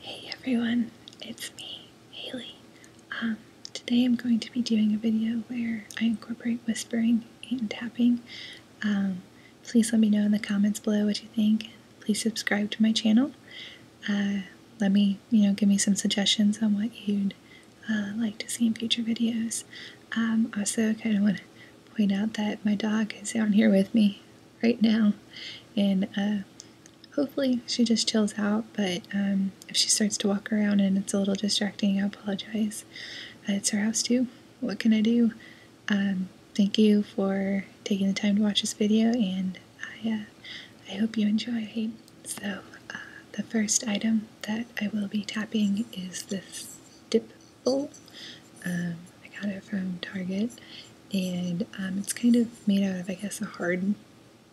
Hey everyone, it's me, Haley. Um, today I'm going to be doing a video where I incorporate whispering and tapping. Um, please let me know in the comments below what you think. Please subscribe to my channel. Uh, let me, you know, give me some suggestions on what you'd uh, like to see in future videos. Um, also, kind of want to point out that my dog is down here with me right now, and uh, hopefully she just chills out. But um, if she starts to walk around and it's a little distracting, I apologize. Uh, it's her house too. What can I do? Um, thank you for taking the time to watch this video, and I uh, hope you enjoy. So the first item that I will be tapping is this dip um, I got it from Target and um, it's kind of made out of, I guess, a hard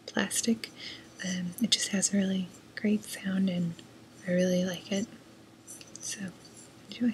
plastic. Um, it just has a really great sound and I really like it. So, enjoy.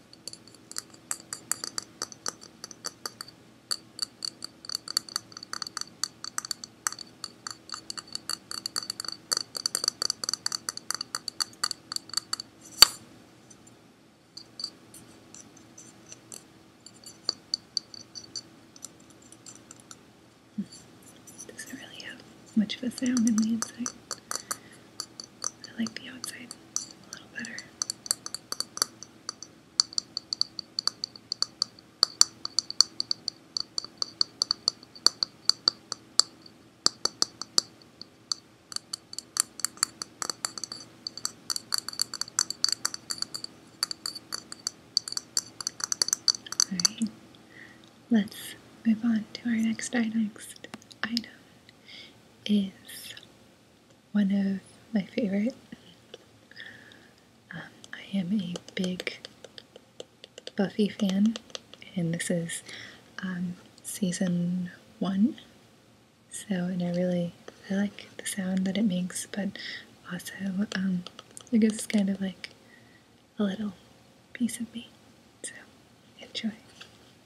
Doesn't really have much of a sound in the inside. I like the outside a little better. All right, let's move on to our next item. Next item is one of my favorite. Um, I am a big Buffy fan, and this is um, season one. So, and I really I like the sound that it makes, but also I guess it's kind of like a little piece of me. So, enjoy.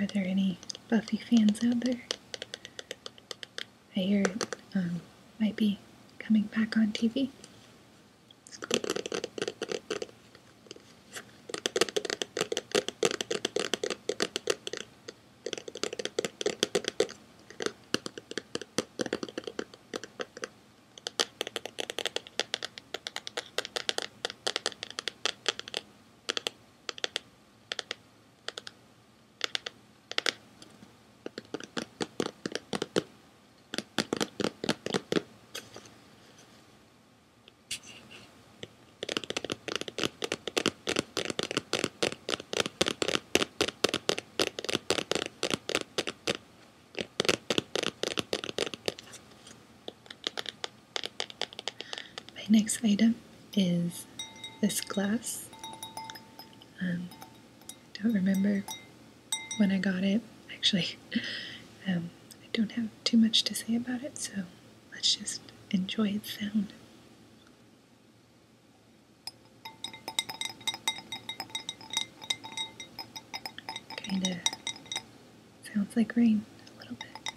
Are there any Buffy fans out there? I hear it um, might be coming back on TV. My next item is this glass. Um, don't remember when I got it, actually. Um, I don't have too much to say about it, so let's just enjoy its sound. Kind of sounds like rain a little bit.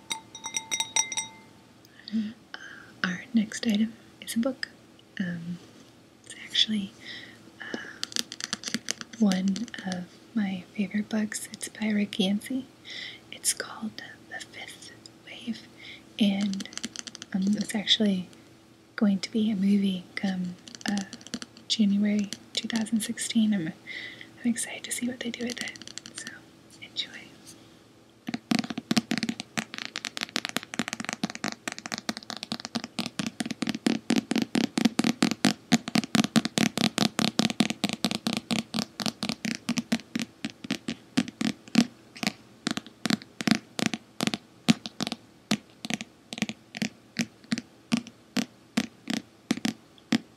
Mm. our next item is a book. Um, it's actually uh, one of my favorite books. It's by Rick Yancey. It's called The Fifth Wave, and um, it's actually going to be a movie come uh, January 2016. I'm excited to see what they do with it. So enjoy.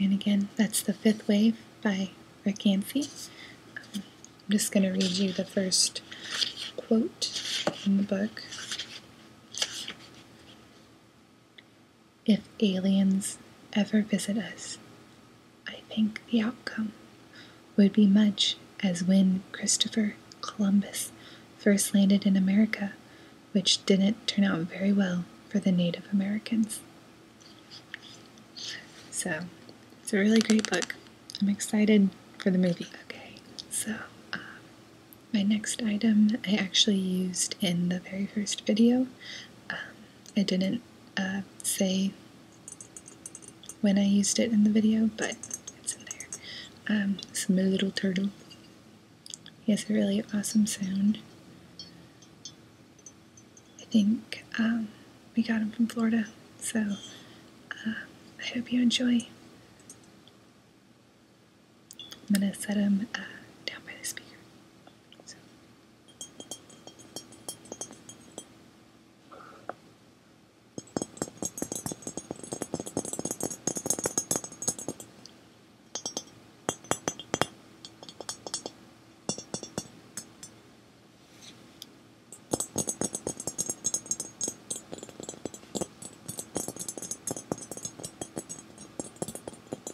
And again, that's The Fifth Wave by Rick Anstey. I'm just going to read you the first quote in the book. If aliens ever visit us, I think the outcome would be much as when Christopher Columbus first landed in America, which didn't turn out very well for the Native Americans. So, it's a really great book. I'm excited for the movie. Okay, so um, my next item I actually used in the very first video um, I didn't uh, say when I used it in the video, but it's in there. Um, it's my little turtle. He has a really awesome sound. I think um, we got him from Florida, so uh, I hope you enjoy. I'm gonna set him uh, down by the speaker.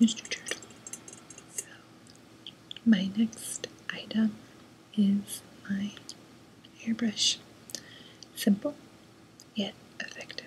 Mr. Turtle. So, my next item is my airbrush. Simple, yet effective.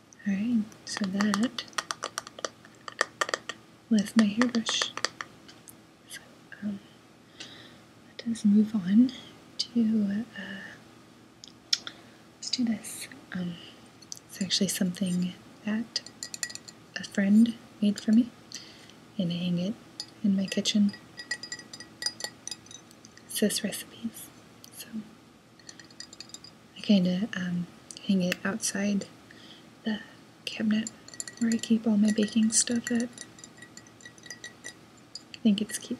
Alright, so that with my hairbrush. So, um, let us move on to, uh, let's do this. Um, it's actually something that a friend made for me, and I hang it in my kitchen. It says recipes. So, I kind of um, hang it outside the cabinet where I keep all my baking stuff at. I think it's cute.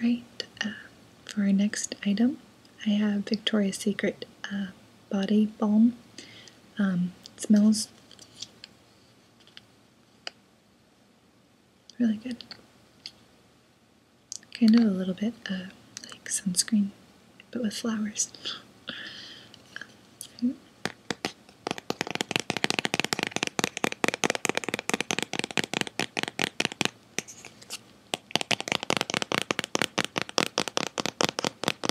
Alright, uh, for our next item, I have Victoria's Secret uh, body balm. Um, smells really good. Kind of a little bit uh, like sunscreen, but with flowers.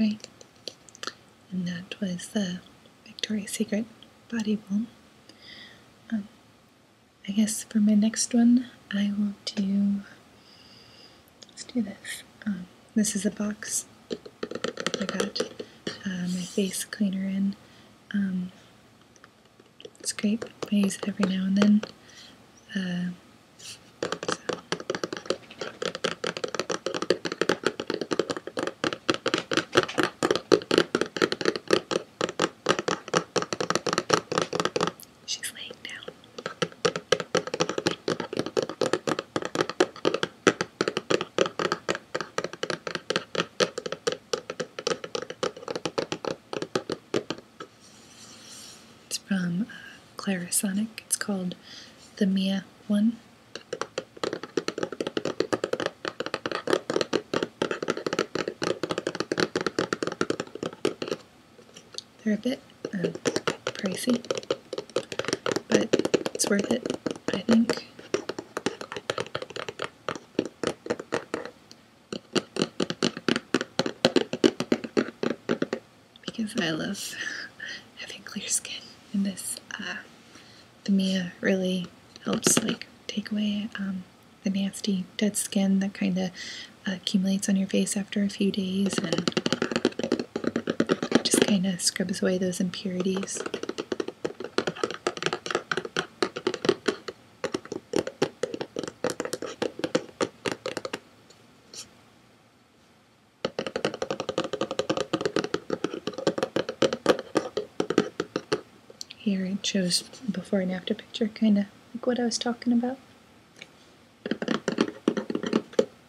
All right, and that was the Victoria's Secret body balm. Um, I guess for my next one, I will do. Let's do this. Um, this is a box I got uh, my face cleaner in. Um, it's great. I use it every now and then. Uh, She's laying down. It's from uh, Clarisonic. It's called the Mia one. They're a bit uh, pricey, but it's worth it, I think because I love having clear skin and this uh, the Mia really helps like take away um, the nasty dead skin that kind of accumulates on your face after a few days and just kind of scrubs away those impurities. Here it shows before and after picture, kind of like what I was talking about.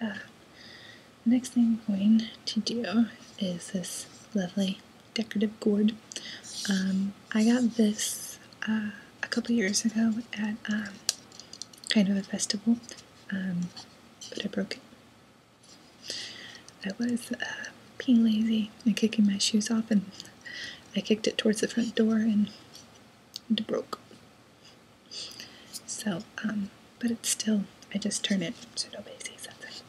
Uh, next thing I'm going to do is this lovely decorative gourd. Um, I got this uh, a couple years ago at um, kind of a festival, um, but I broke it. I was uh, being lazy and kicking my shoes off, and I kicked it towards the front door and it broke. So, but it's still, I just turn it so nobody sees something.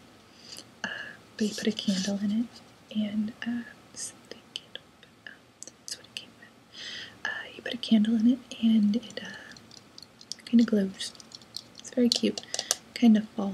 Uh, but you put a candle in it and uh, something candle. Um, that's what it came with. Uh, you put a candle in it, and it uh, kind of glows. It's very cute. Kind of fall.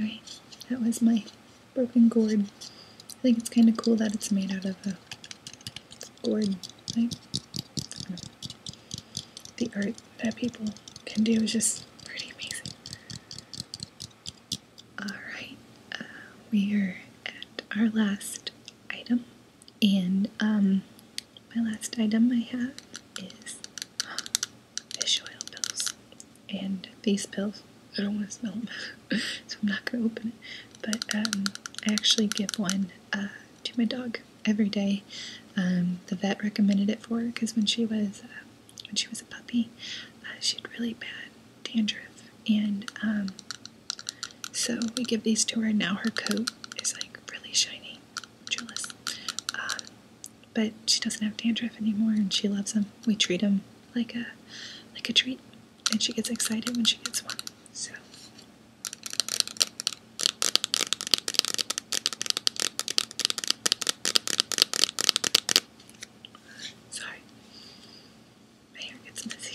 Alright, that was my broken gourd. I think it's kind of cool that it's made out of a Gordon, the art that people can do is just pretty amazing. Alright, uh, we are at our last item, and um, my last item I have is fish oil pills. And these pills, I don't want to smell them, so I'm not going to open it. But um, I actually give one uh, to my dog every day. Um, the vet recommended it for her because when she was uh, when she was a puppy, uh, she had really bad dandruff, and um, so we give these to her. Now her coat is like really shiny, jealous, um, but she doesn't have dandruff anymore, and she loves them. We treat them like a like a treat and she gets excited when she gets one. So sorry, my gets messy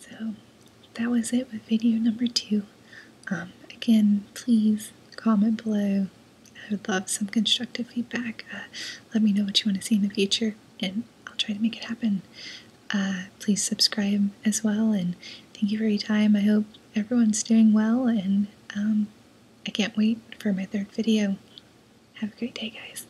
so that was it with video number two. Um, again, please comment below. I would love some constructive feedback. Uh, let me know what you want to see in the future, and I'll try to make it happen. Uh, please subscribe as well, and thank you for your time. I hope everyone's doing well, and um, I can't wait for my third video. Have a great day, guys.